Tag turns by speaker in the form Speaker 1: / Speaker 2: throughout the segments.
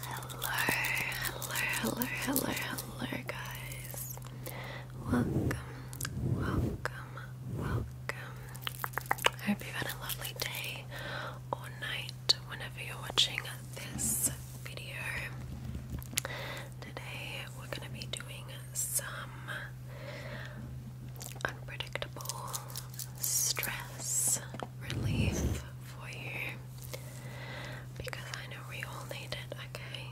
Speaker 1: Hello, hello, hello, hello, hello, guys. Welcome, welcome, welcome. I hope you've had a lovely day or night whenever you're watching this video. Today, we're going to be doing some unpredictable stress relief for you because I know we all need it, okay?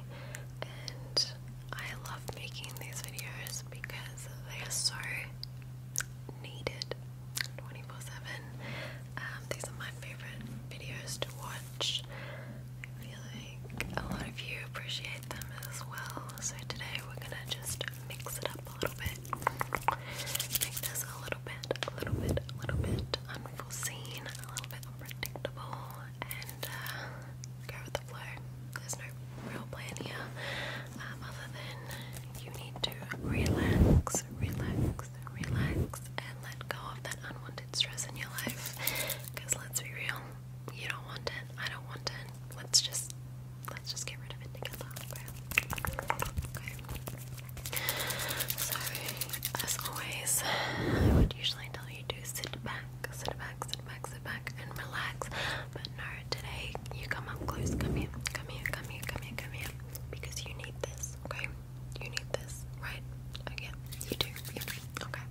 Speaker 1: And I love making these videos because they are so needed 24 7. Um, these are my favorite videos to watch. I feel like a lot of you appreciate them as well. So today we're gonna just mix it up a little bit. Make this a little bit, a little bit, a little bit unforeseen, a little bit unpredictable, and uh, go with the flow. There's no real plan here, um, other than you need to relax, relax, relax, and let go of that unwanted stress in your life. Because let's be real, you don't want it. I don't want it. Let's just let's just get rid of it together. Okay. okay. So as always, I would usually tell you to sit back, sit back, sit back, sit back and relax. But no, today you come up close, come here, come here, come here, come here, come here. Because you need this, okay? You need this, right? Okay, You do. Okay.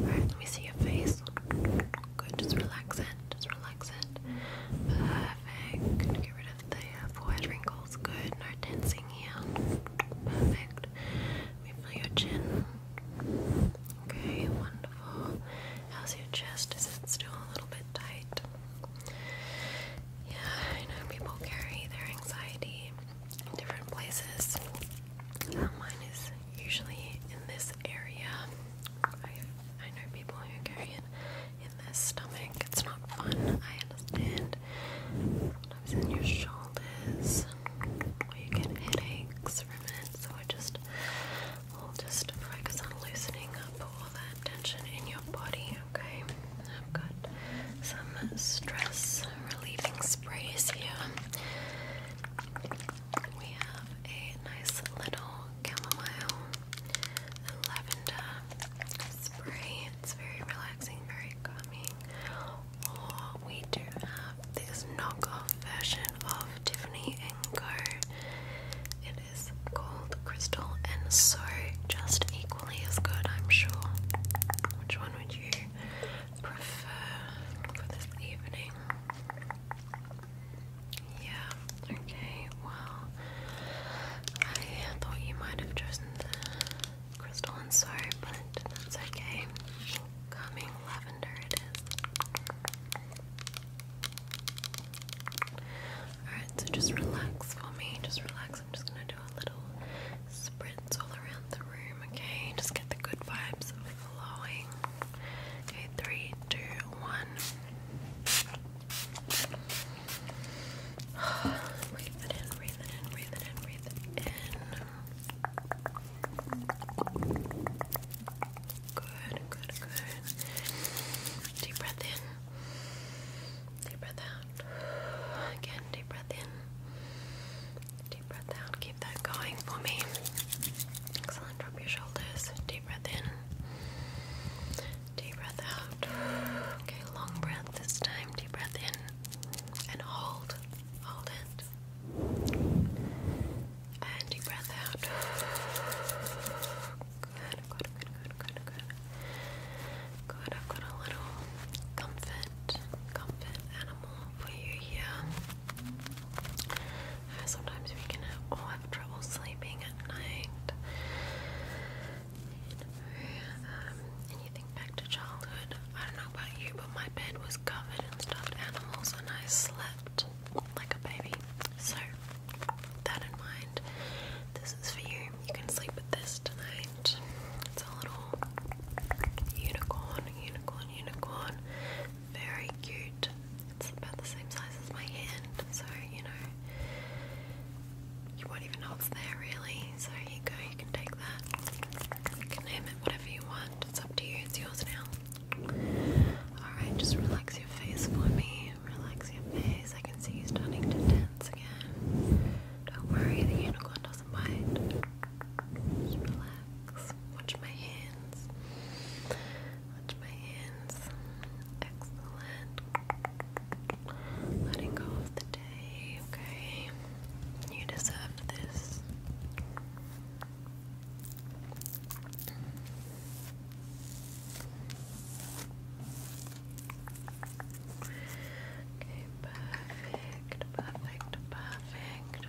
Speaker 1: Alright, let me see your face. Good, just relax it. Just relax it. Perfect. Good. Get rid of the uh, forehead wrinkles. Good. No tensing here. Perfect. Let me feel your chin. Okay, wonderful. How's your chest? Is it still a little bit tight? Yeah, I know people carry their anxiety in different places. Um, mine is usually in this area. I, I know people who carry it in their stomach. It's not fun, I understand. Sometimes in your shoulders, or you get headaches from it. So I just, we'll just focus on loosening up all that tension in your body, okay? I've got some stress relieving sprays here. We have a nice little chamomile lavender spray. It's very relaxing, very calming. Or we do have this knockoff version of Tiffany & Co. It is called Crystal and So, just equally as good, I'm sure. Which one would you prefer for this evening? Yeah, okay, well, I thought you might have chosen the crystalline soap, but that's okay. Calming lavender it is. Alright, so just relax for me, just relax. I'm just gonna do a little sprints all around the room, okay? Just get the good vibes flowing. Okay, three, two, one. breathe it in, breathe it in, breathe it in, breathe it in. Good, good, good. Deep breath in. Deep breath out. Again, deep breath in. Deep breath out. Keep that going for me. Excellent. Drop your shoulders. Deep breath in. Deep breath out. Okay, long breath this time. Deep breath in. And hold. Hold it. And deep breath out. Good, good, good, good, good, good. Good, I've got a little comfort, comfort animal for you here. Uh, sometimes we can all have trouble sleeping at night. Um, and you think back to childhood. I don't know about you, but my bed was covered in stuffed animals, and I slept like a baby. So, that in mind, this is for you. You can sleep with this tonight. It's a little unicorn, unicorn, unicorn very cute. It's about the same size as my hand, so you know, you won't even know it's there really. So you go, you can take that. You can name it whatever you want, it's up to you, it's yours now. Alright, just relax your face for me. Relax your face. I can see you starting to tense again. Don't worry, the unicorn doesn't bite. Just relax. Watch my hands. Watch my hands. Excellent. Letting go of the day, okay? You deserve this. Okay, perfect, perfect, perfect,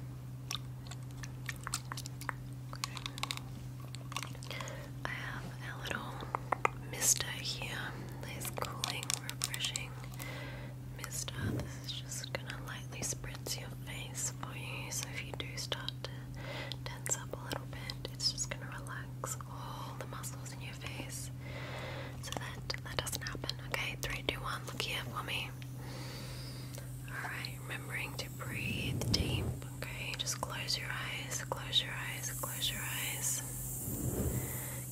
Speaker 1: I have a little mister here. Nice, cooling, refreshing mister. This is just gonna lightly spritz your face for you. So if you do start to tense up a little bit, it's just gonna relax all the muscles in your face. So that that doesn't happen. Okay, three, two, one. Look here for me. All right remembering to breathe deep. Okay, just close your eyes, close your eyes, close your eyes.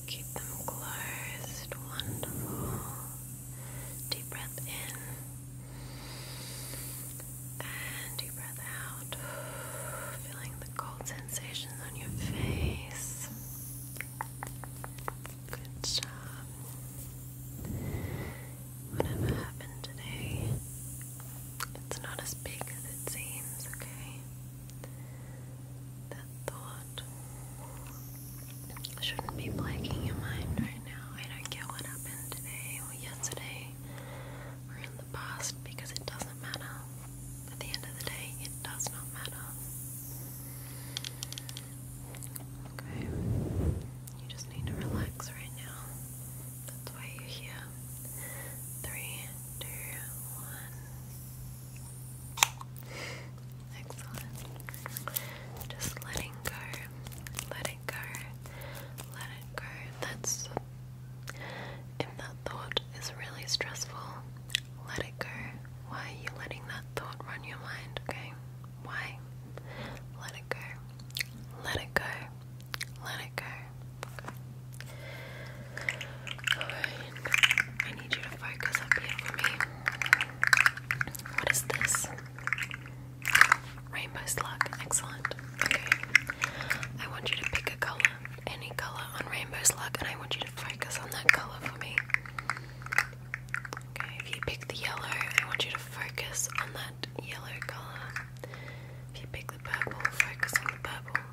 Speaker 1: Keep them closed. Wonderful. Deep breath in. And deep breath out. Feeling the cold sensations on your face. Good job. Whatever happened today, it's not as big as it seems, okay? That thought shouldn't be plaguing your mind right now. I don't care what happened today or yesterday or in the past because it doesn't matter. At the end of the day, it does not matter. Okay. You just need to relax right now. That's why you're here. Three, two, one. Excellent. Just letting go. Let it go. Let it go. That's if that thought is really stressful, let it go. Why are you letting that thought run your mind, okay? Why? Let it go. Let it go. Let it go. Okay. I need you to focus up here for me. What is this? Rainbow slug. Excellent. Okay. I want you to pick a colour. Any colour on rainbow slug, and I want you to focus on that colour for me. Okay, if you pick the yellow, I want you to focus on that yellow colour. If you pick the purple, focus on the purple.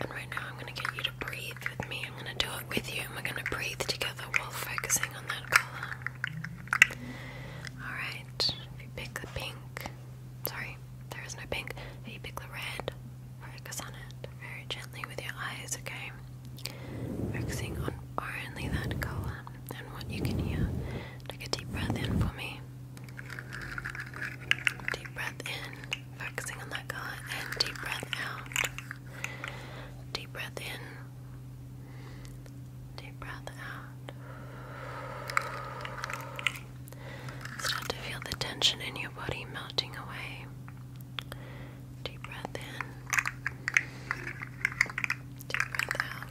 Speaker 1: And right now, I'm going to get you to breathe with me. I'm going to do it with you, and we're going to breathe together while focusing on that colour. Alright, if you pick the pink, sorry, there is no pink. If you pick the red, focus on it very gently with your eyes, okay? Focusing on only that colour and what you can hear. Take a deep breath in for me. Deep breath in, focusing on that colour, and deep breath out. Deep breath in. Deep breath out. Start to feel the tension in your body melting away. Deep breath in. Deep breath out.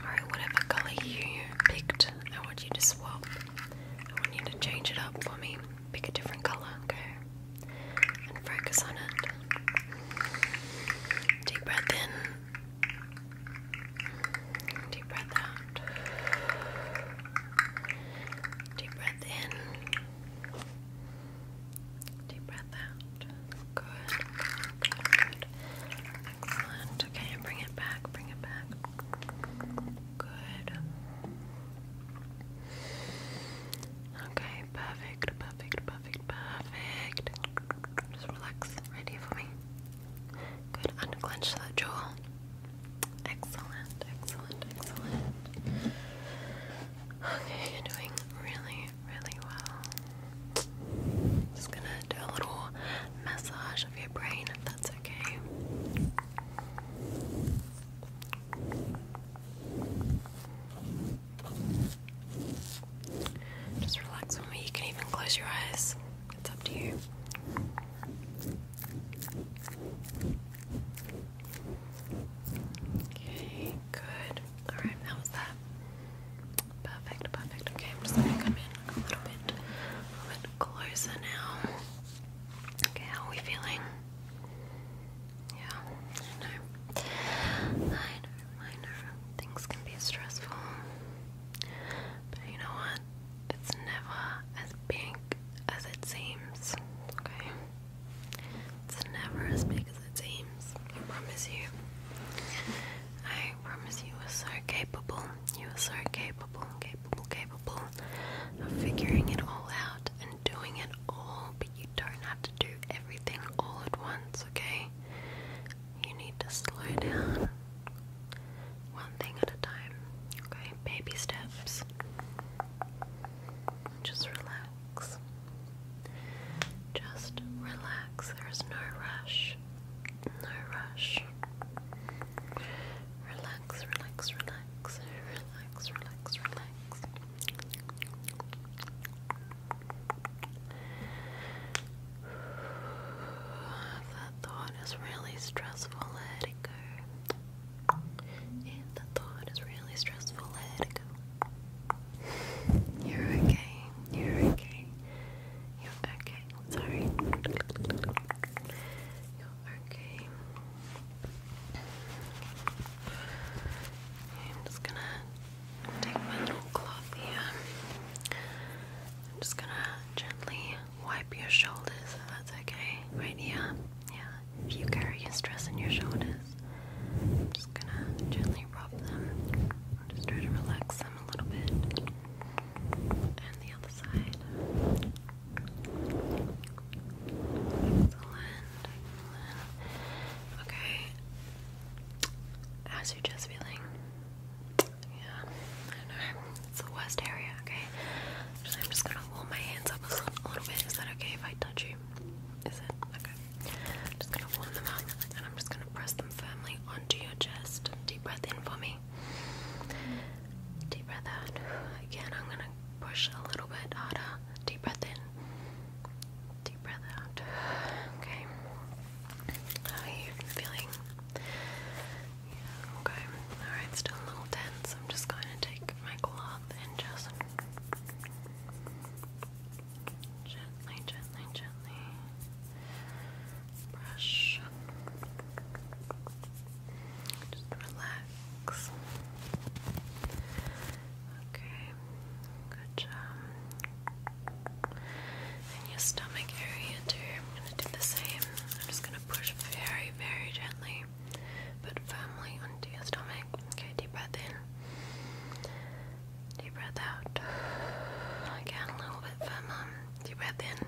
Speaker 1: Alright, whatever colour you picked, I want you to swap. I want you to change it up for me. Pick a different colour, okay? And focus on it. Deep breath in. Deep breath out. Deep breath in. Deep breath out. Good, Excellent. Okay, bring it back, bring it back. Good. Okay, perfect, perfect, perfect, perfect. Just relax. Ready for me? Good. Unclench that jaw. Excellent, excellent, excellent. Okay, you're doing really, really well. Just gonna do a little massage of your brain if that's okay. Just relax for me. You can even close your eyes. It's up to you. Okay, good. Alright, how was that? Perfect, perfect. Okay, just gonna come in a little bit a little bit closer now. Okay, how are we feeling? Yeah, I know. I know, I know. Things can be stressful. But you know what? It's never as big as it seems. Okay? It's never as big as it seems. I promise you. I promise you are so capable. You are so capable, capable, capable of figuring it all out and doing it all, but you don't have to do everything all at once, okay? You need to slow down one thing at a time, okay? Baby steps. Just relax. Just relax. There's no rush. No rush. Relax, relax, relax. Relax, relax, relax. That thought is really stressful. Let it go. And the thought is really stressful, let it go. You're okay. You're okay. You're okay. Sorry. You're okay. I'm just gonna take my little cloth here. I'm just gonna gently wipe your shoulders that's okay. Right here. Yeah if you carry a stress in your shoulders, I'm just gonna gently rub them. just try to relax them a little bit. And the other side. Excellent. Okay. How's your chest feeling? Yeah, I don't know. It's the worst area, okay? I'm just gonna warm my hands up a little bit. Is that okay if I touch you? Is it? Okay. just gonna warm them up and I'm just gonna press them firmly onto your chest. Deep breath in for me. Deep breath out. Again, I'm gonna push a little bit harder. Deep breath in. Deep breath out. Okay. How are you feeling? Yeah, okay. Alright, still a little tense. I'm just going to take my glove mouth and just gently, gently, gently brush. Just relax. Okay, good job. And your stomach area too. I'm gonna do the same. I'm just gonna push very, very gently gently firmly onto your stomach. Okay, deep breath in. Deep breath out. Again, a little bit firmer. Deep breath in.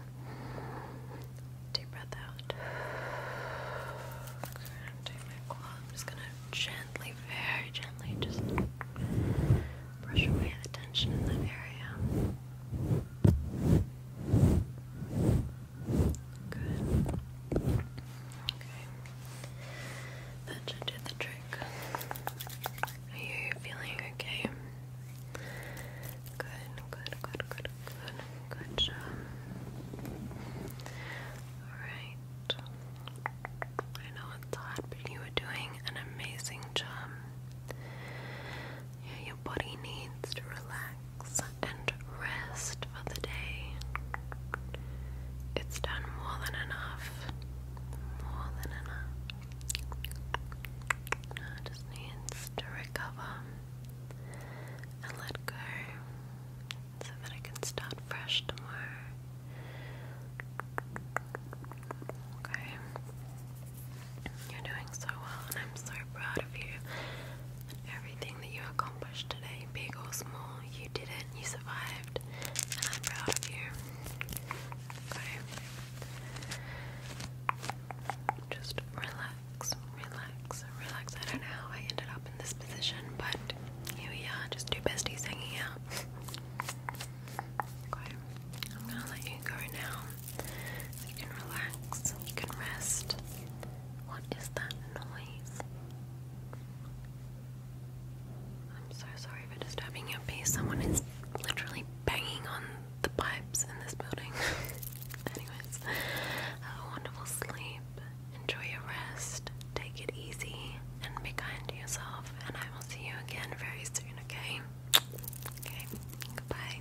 Speaker 1: Deep breath out. Okay, i my quad. I'm just gonna gently, very gently, just brush away the tension in that area. That should do the trick. Are you feeling okay? Good, good, good, good, good, good job. Alright. I know it's hard, but you are doing an amazing job. Yeah, your body needs to relax and rest for the day. It's done more than enough. More than enough. Now just needs to recover and let go so that I can start fresh tomorrow. Okay. You're doing so well, and I'm so proud of you everything that you accomplished today, big or small. You did it, you survived, and I'm proud of you. Okay. Just relax, relax, relax. I don't know how I ended up in this position, but here we are, just two besties hanging out. Okay, I'm gonna let you go now. You can relax, you can rest, what is that noise? I'm so sorry for disturbing your peace. Someone is literally banging on the pipes in this building. Anyways, a wonderful sleep. Enjoy your rest. Take it easy and be kind to yourself. And I will see you again very soon, okay? Okay, goodbye.